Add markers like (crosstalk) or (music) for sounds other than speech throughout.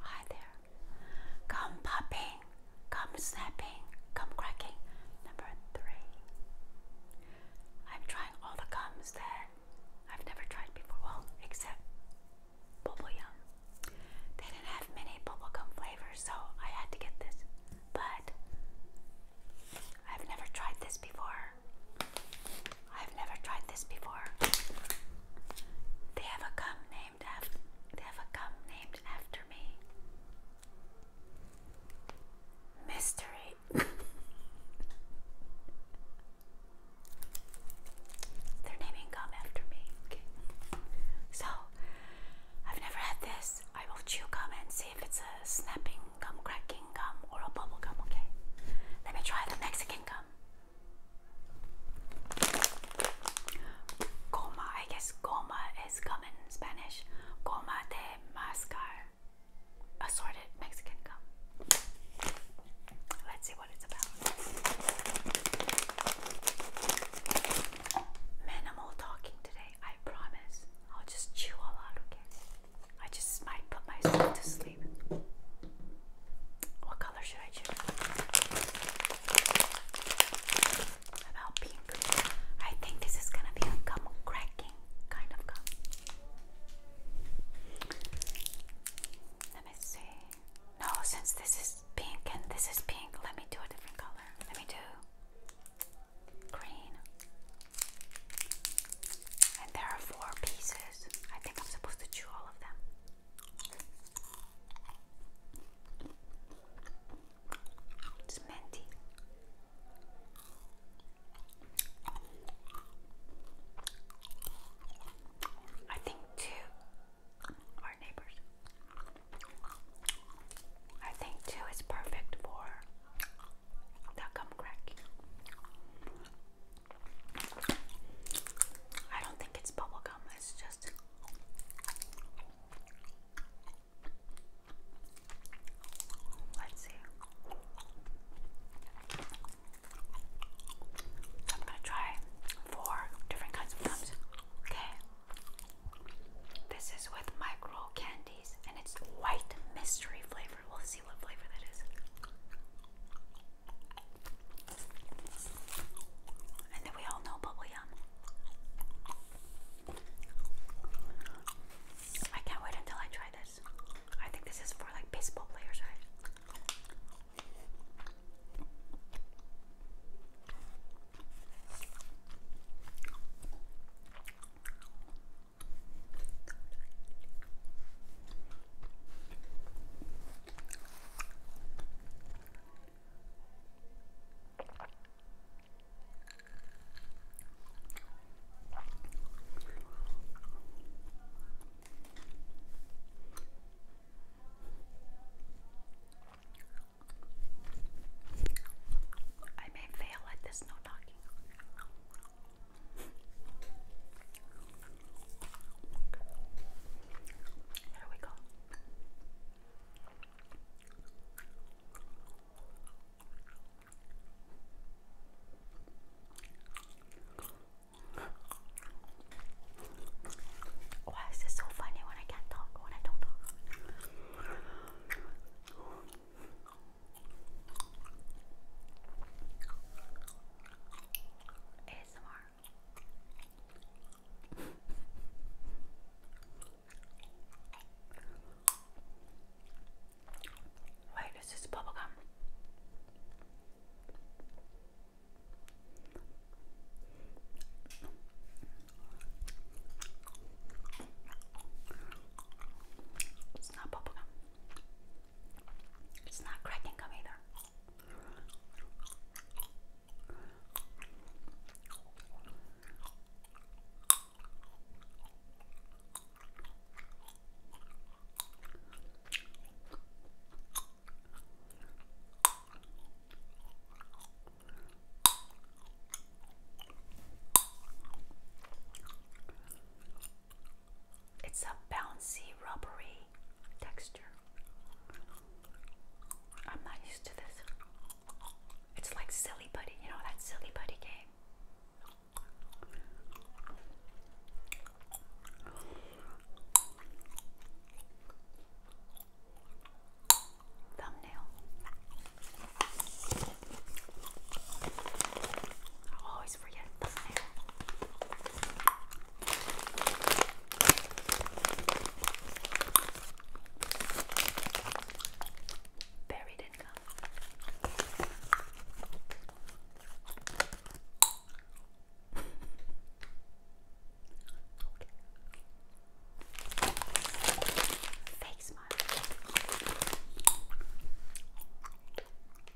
Hi there. Come popping, come snapping, come cracking. Number three. I'm trying all the gums that I've never tried before. Well, except bubble yum. They didn't have many bubblegum flavors, so I had to get this. But I've never tried this before. I've never tried this before. They have a gum named after they have a gum named after me. Mystery. (laughs) They're naming gum after me. So I've never had this. I will chew gum and see if it's a snapping gum cracking gum or a bubble gum, okay? Let me try the Mexican gum. Goma, I guess goma is gum in Spanish. Goma de mascar. Assorted Mexican gum. Let's see what it's about. Minimal talking today, I promise. I'll just chew a lot, okay? I just might put myself to sleep. What color should I choose? About pink. I think this is gonna be a gum cracking kind of gum. Let me see. No, since this is pink and this is pink, let me do a different color. Let me do green. And there are four pieces. I think I'm supposed to chew all of them. It's minty. I think two are neighbors. I think two is perfect for the gum crack. I don't think it's bubblegum, it's just. Let's see. I'm gonna try four different kinds of gums. Okay. This is with micro candies and it's white mystery flavor. We'll see what flavor that is. And then we all know bubblegum. I can't wait until I try this. I think this is for like baseball players, right? I may fail at this no knocking. Here we go. Why is this so funny when I can't talk, when I don't talk? ASMR. Wait, is this bubblegum? It's not bubble gum. It's not cracking gum either. It's a bouncy, rubbery texture. I'm not used to this. It's like Silly Buddy, you know, that Silly Buddy game. Thumbnail. always for your Buried income. Fake smile.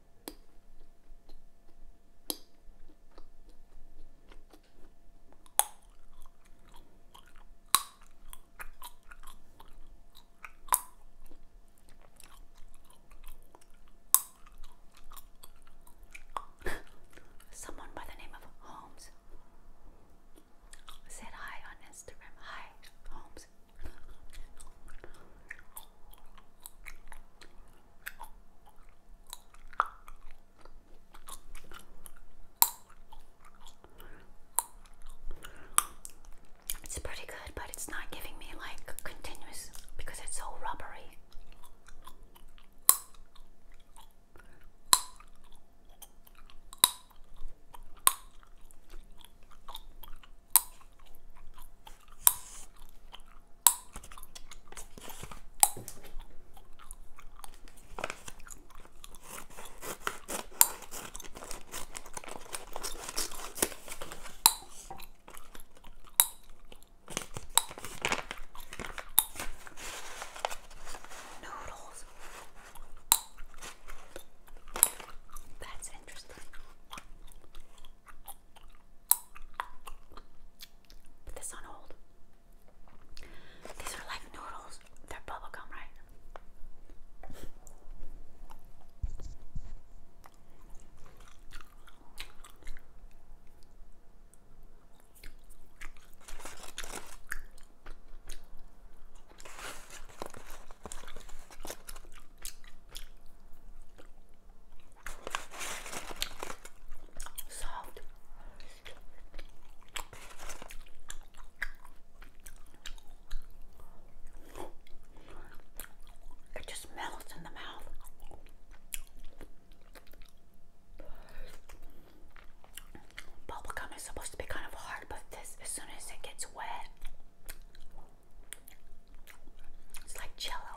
(laughs) Someone by the name of Holmes said hi on Instagram. Hi, Holmes. It's pretty good, but it's not giving me like continuous because it's so rubbery. Noodles. That's interesting. Put this on hold. These are like noodles. They're bubblegum, right? Soft. It just melts in the mouth. Bubblegum is supposed to be kind of hard, but this, as soon as it gets wet, it's like jello.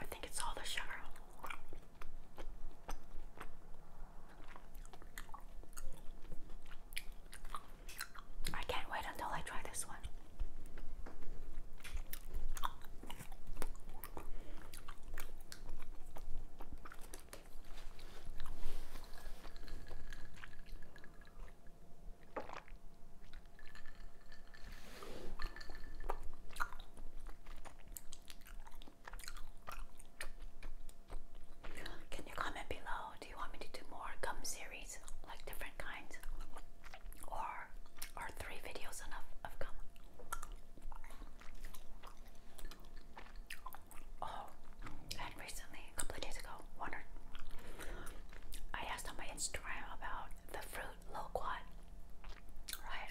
I think it's all the sugar. I can't wait until I try this one. Can you comment below? Do you want me to do more gum series, like different kinds, or are three videos enough of gum? Oh, and recently, a couple of days ago, wondered. I asked on my Instagram about the fruit loquat, right?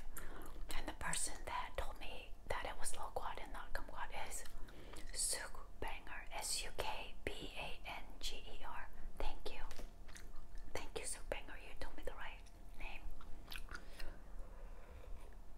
And the person that told me that it was loquat and not kumquat is Suk Banger, S U K B A N G E R. Thank you. Thank you, Suk You told me the right name.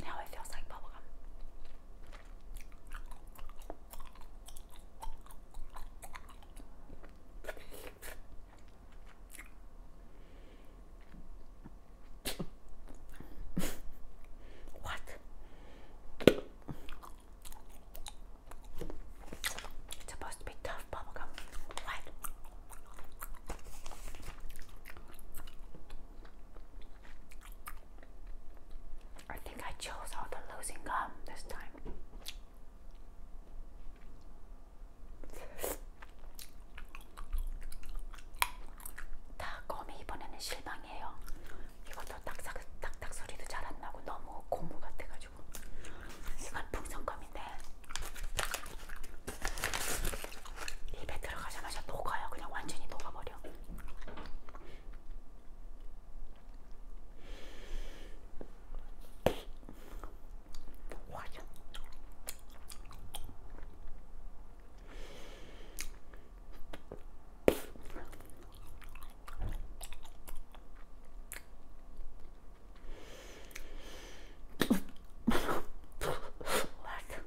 Now it feels like bubblegum. what? It's supposed I think I chose all the losing gum this time. 다 껌이 이번에는 실망이에요. 이것도 딱딱딱딱 소리도 잘 안 나고 너무 고무 같아가지고. 이건 풍선껌인데 입에 들어가자마자 녹아요. 그냥 완전히 녹아버려. 녹아져. Like,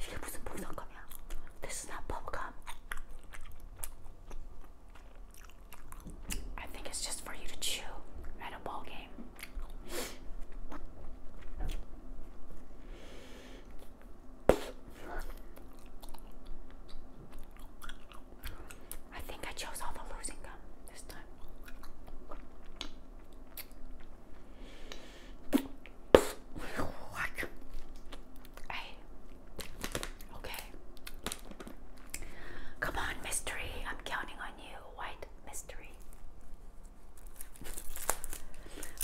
이게 무슨 보상감이야? This is not bubblegum. I just for you to chew at a ball game. I think I chose all the losing gum this time. Hey. Okay. Come on, mystery. I'm counting on you. White mystery.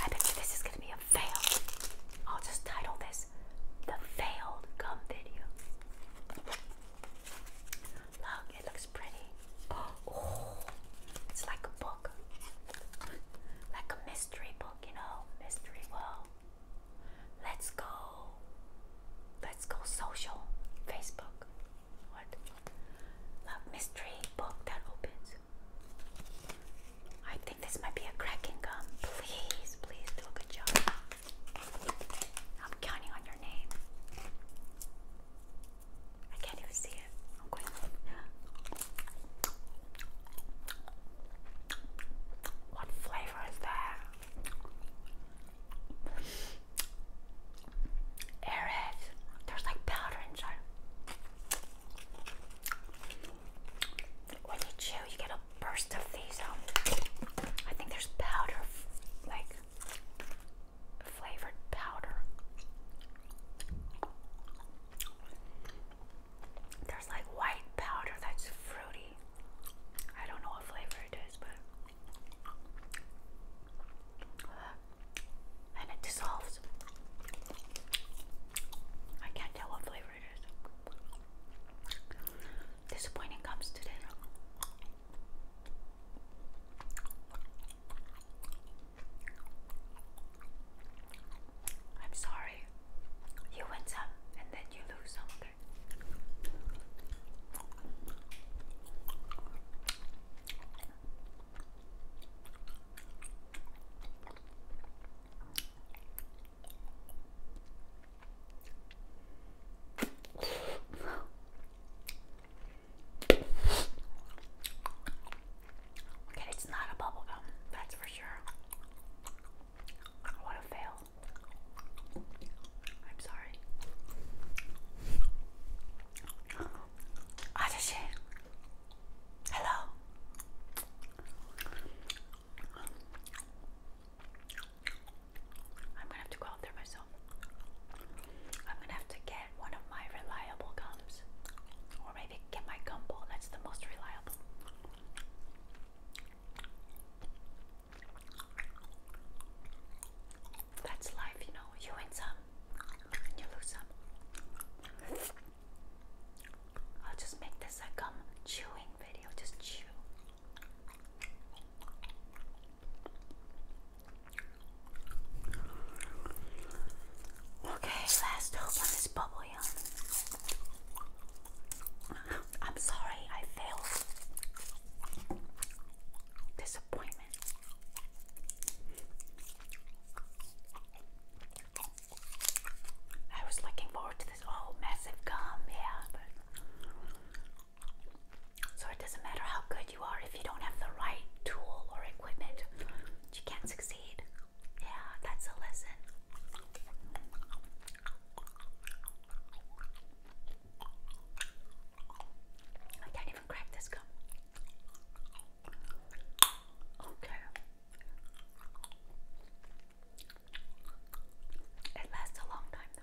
I bet you this is going to be a fail. I'll just title this The Failed Gum Video. Look, it looks pretty. Oh, it's like a book, like a mystery book, you know, mystery world. Let's go. Let's go social, Facebook. What? Look, mystery book that opens. I think this might be a cracking gum. Please, please do a good job. I'm counting on your name. I can't even see it. What flavor is that? Airhead. There's like powder inside. When you chew, you get a burst of these. Um, I think there's powder, like flavored powder. There's like white powder that's fruity. I don't know what flavor it is, but. And it dissolves. I can't tell what flavor it is. Disappointing comes to I'm sorry. You win some and then you lose some Okay, it's not a bubble gum, that's for sure. What a fail. I'm sorry. Ah, Atashi. Hello. I'm gonna have to go out there myself. I'm gonna have to get one of my reliable gums. Or maybe get my gumball, that's the most reliable. That's life, you know. You win some, and you lose some. I'll just make this a gum chewing video, just chew. Okay, last hope on this bubble yum. I'm sorry, I failed. Disappointment. I was looking forward to this whole oh, massive gum, yeah, so it doesn't matter how good you are if you don't have the right tool or equipment, you can't succeed. Yeah, that's a lesson. I can't even crack this gum. Okay. It lasts a long time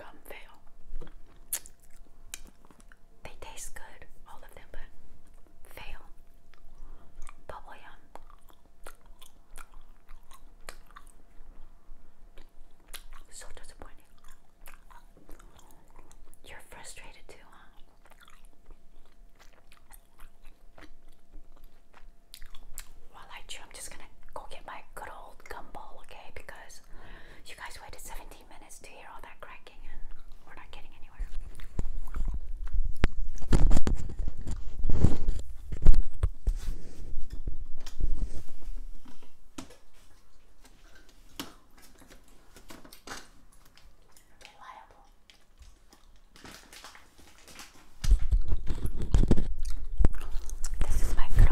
i fail. They taste good, all of them, but fail. Bubble yum. So disappointing. You're frustrated too, huh? While I chew, I'm just gonna go get my good old gumball, okay? Because you guys waited 17 minutes to hear all that cracking, and we're not getting anywhere. Reliable. This is my good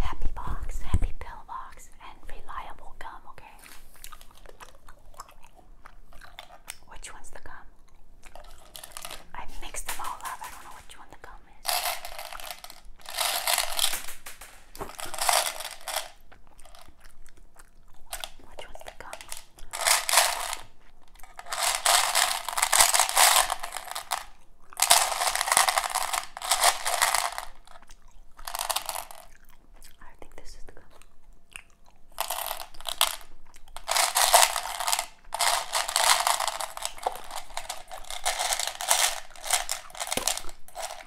happy box, happy pill box, and reliable gum, okay? Which one's the gum? I mixed them all up. I don't know which one the gum is. Which one's the gum? I think this is the gum.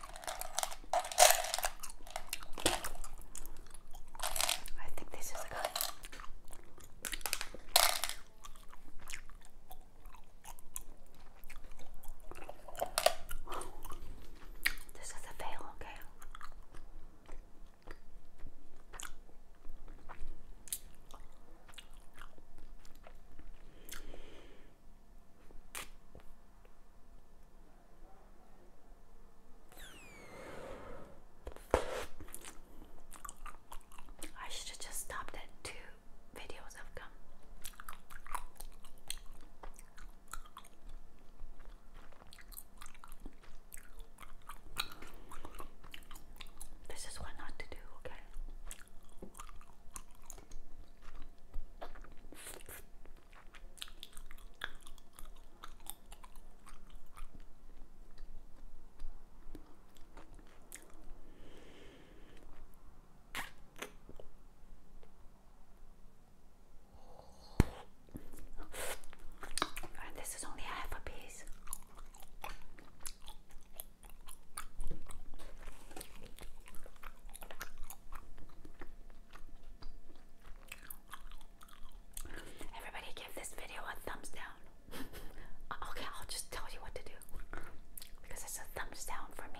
I think this is a fail, okay? I should have just stopped at two videos of gum. This is what not to do, okay? And this is only half a piece. Everybody give this video a thumbs down. (laughs) okay, I'll just tell you what to do. Because it's a thumbs down for me.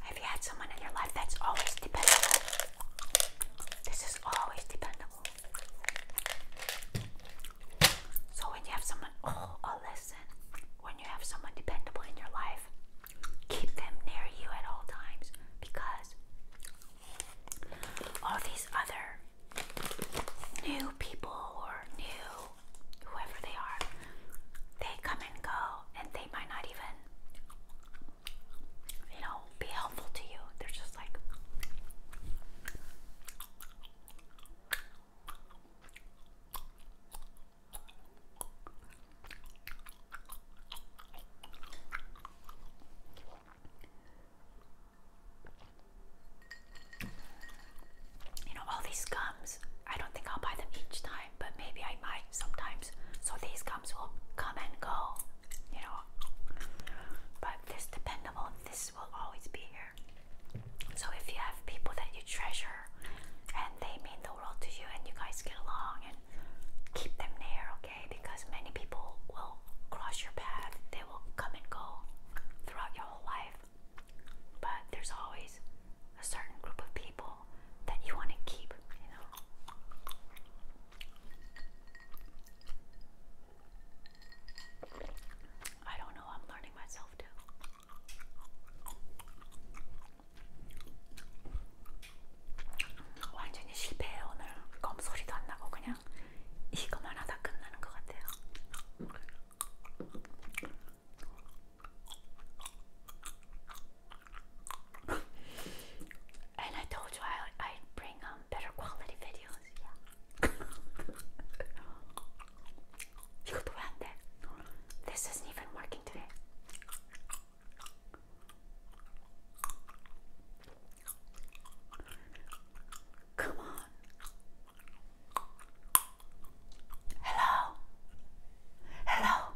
Have you had someone in your life that's always dependable? This is always dependable. So when you have someone, oh, a oh, lesson. when you have someone dependable in your life, keep them near you at all times because all these other new people or new whoever they are, they come and go and they might not even, you know, be helpful to you. They're just like, you know, all these gums, I don't think I'll buy them each time, but maybe I might sometimes. So these gums will come and go, you know. But this dependable, this will always be here. So if you have people that you treasure and they mean the world to you and you guys get along and keep them near, okay? Because many people will cross your path, they will come and go throughout your whole life. But there's always a certain group of people that you want to keep, you know. I don't know, I'm learning myself too. 완전히 실패해 오늘 검소리도 안 나고 그냥 이거만 하다 끝나는 것 같아요. (laughs) and I told you I i bring um better quality videos. Yeah. (laughs) this isn't even working today. Come on. Hello. Hello.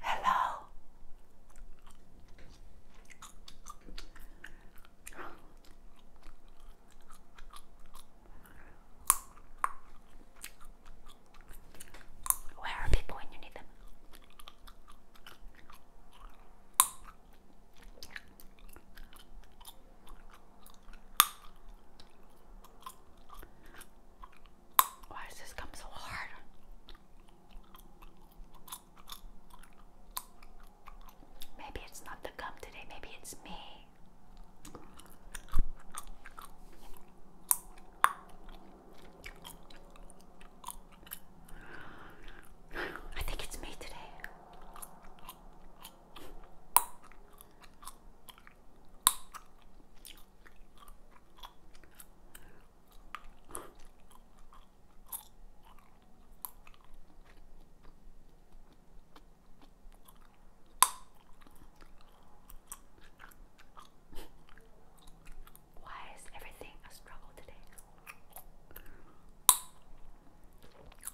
Hello. Where are people when you need them? Why does this come so hard? Maybe it's not the gum today, maybe it's me. I think it's me today. Why is everything a struggle today?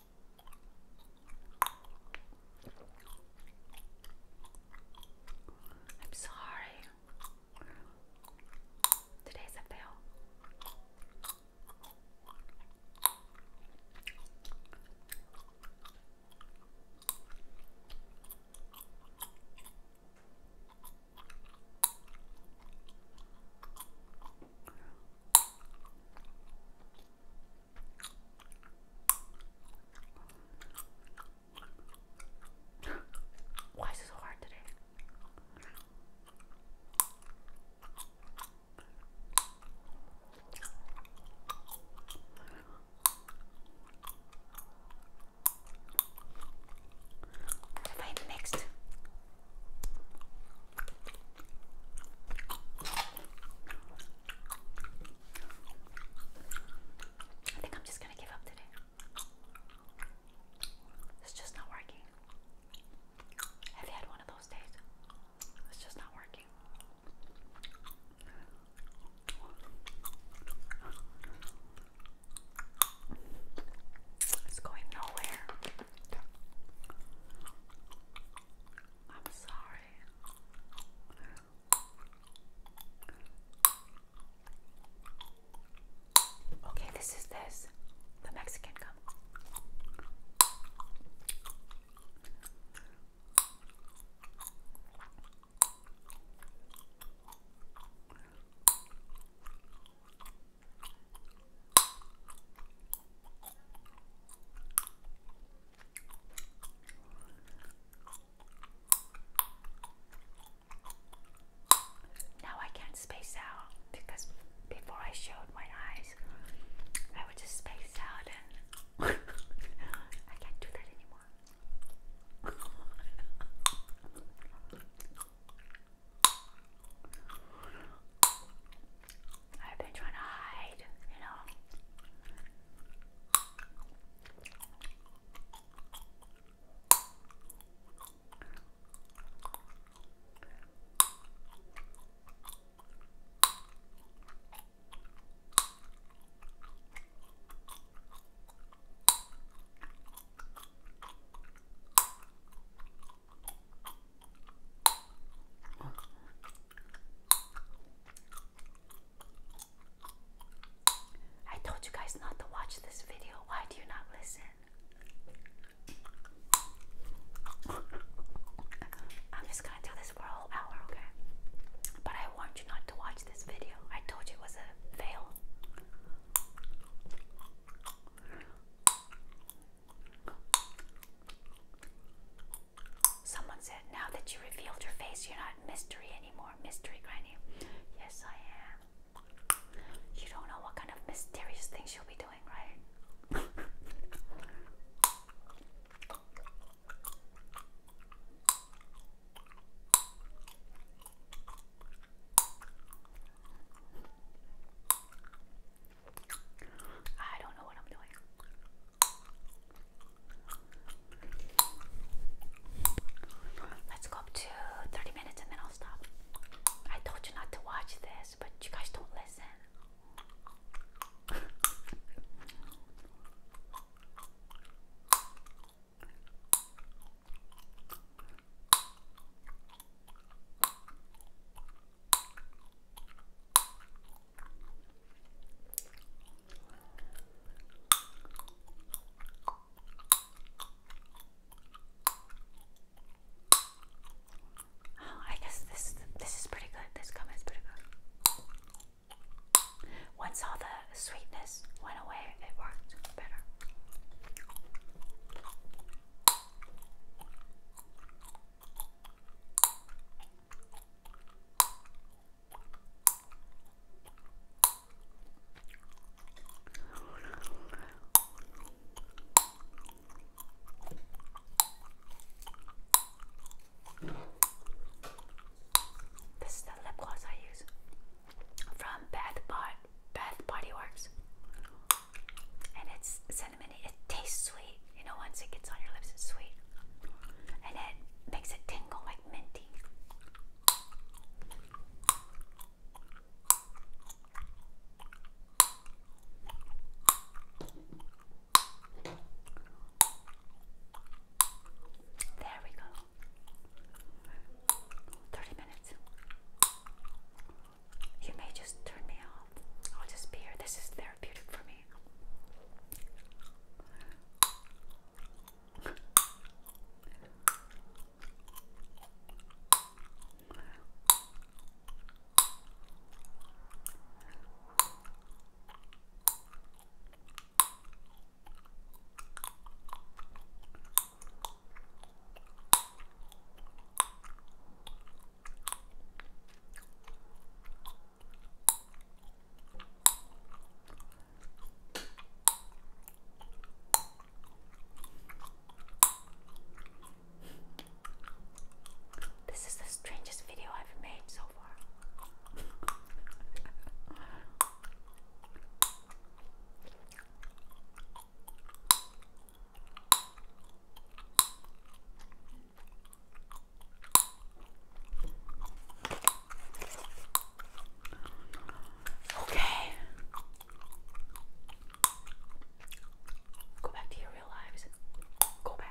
I'm sorry. Today's a fail. Why is it so hard today? What have I mixed? I think I'm just gonna give up today. It's just not working. Have you had one of those days? It's just not working. It's going nowhere. I'm sorry. Okay, this is this. The Mexican gum. Now I can't space out because before I showed my eyes, I would just space out and (laughs) I can't do that anymore. I've been trying to hide, you know. I told you guys not to watch this video. Why do you not listen? I'm just gonna do this for a whole hour, okay? But I warned you not to watch this video. I told you it was a fail. Someone said, now that you revealed your face, you're not mystery anymore. Mystery granny. Yes, I am. You don't know what kind of mysterious things you'll be doing, right? I don't know what I'm doing. Let's go up to 30 minutes and then I'll stop. I told you not to watch this, but you guys don't listen. Oh, I guess this this is pretty good. This comment is pretty good. Once all the sweetness went away, it worked better. This is the lip gloss I use from Bath, Body Bath Body Works and it's cinnamon. It tastes sweet. You know, once it gets on your lips, it's sweet, and it makes it tingle like minty. There we go. Thirty minutes. You may just turn me off. I'll just be here. This is therapeutic for me. This is the strangest video I've made so far. Okay. Go back to your real lives. Go back.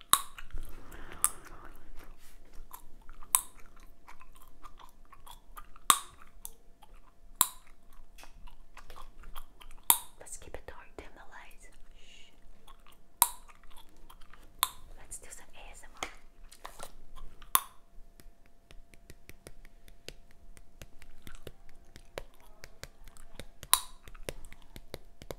Let's keep it dark, dim the lights. Let's do some ASMR.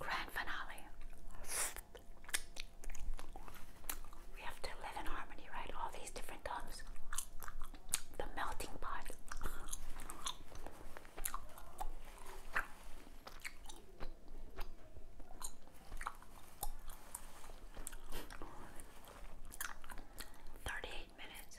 Grand finale. We have to live in harmony, right? All these different tones. The melting pot. Thirty-eight minutes.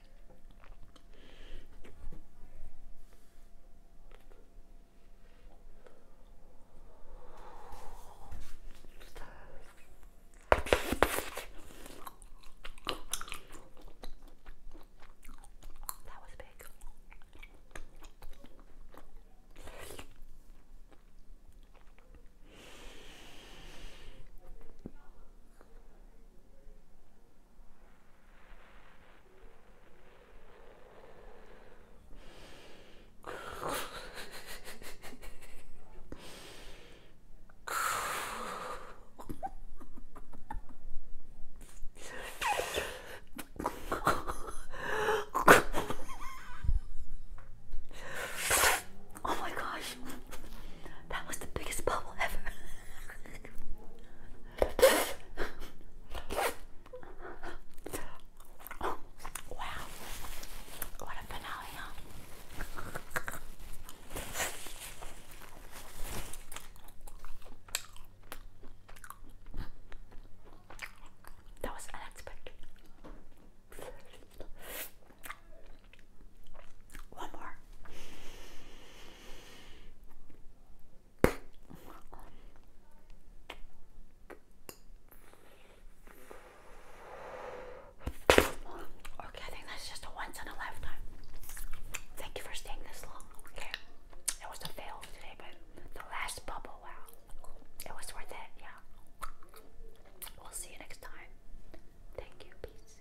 That was big. Oh my gosh, that was the biggest bubble ever. (laughs) wow, what a finale, That was unexpected. One more. Okay, I think that's just a once in a lifetime. Thank you for staying this long. Okay, it was a fail today, but the last bubble, wow, it was worth it. Yeah, we'll see you next time. Thank you. Peace.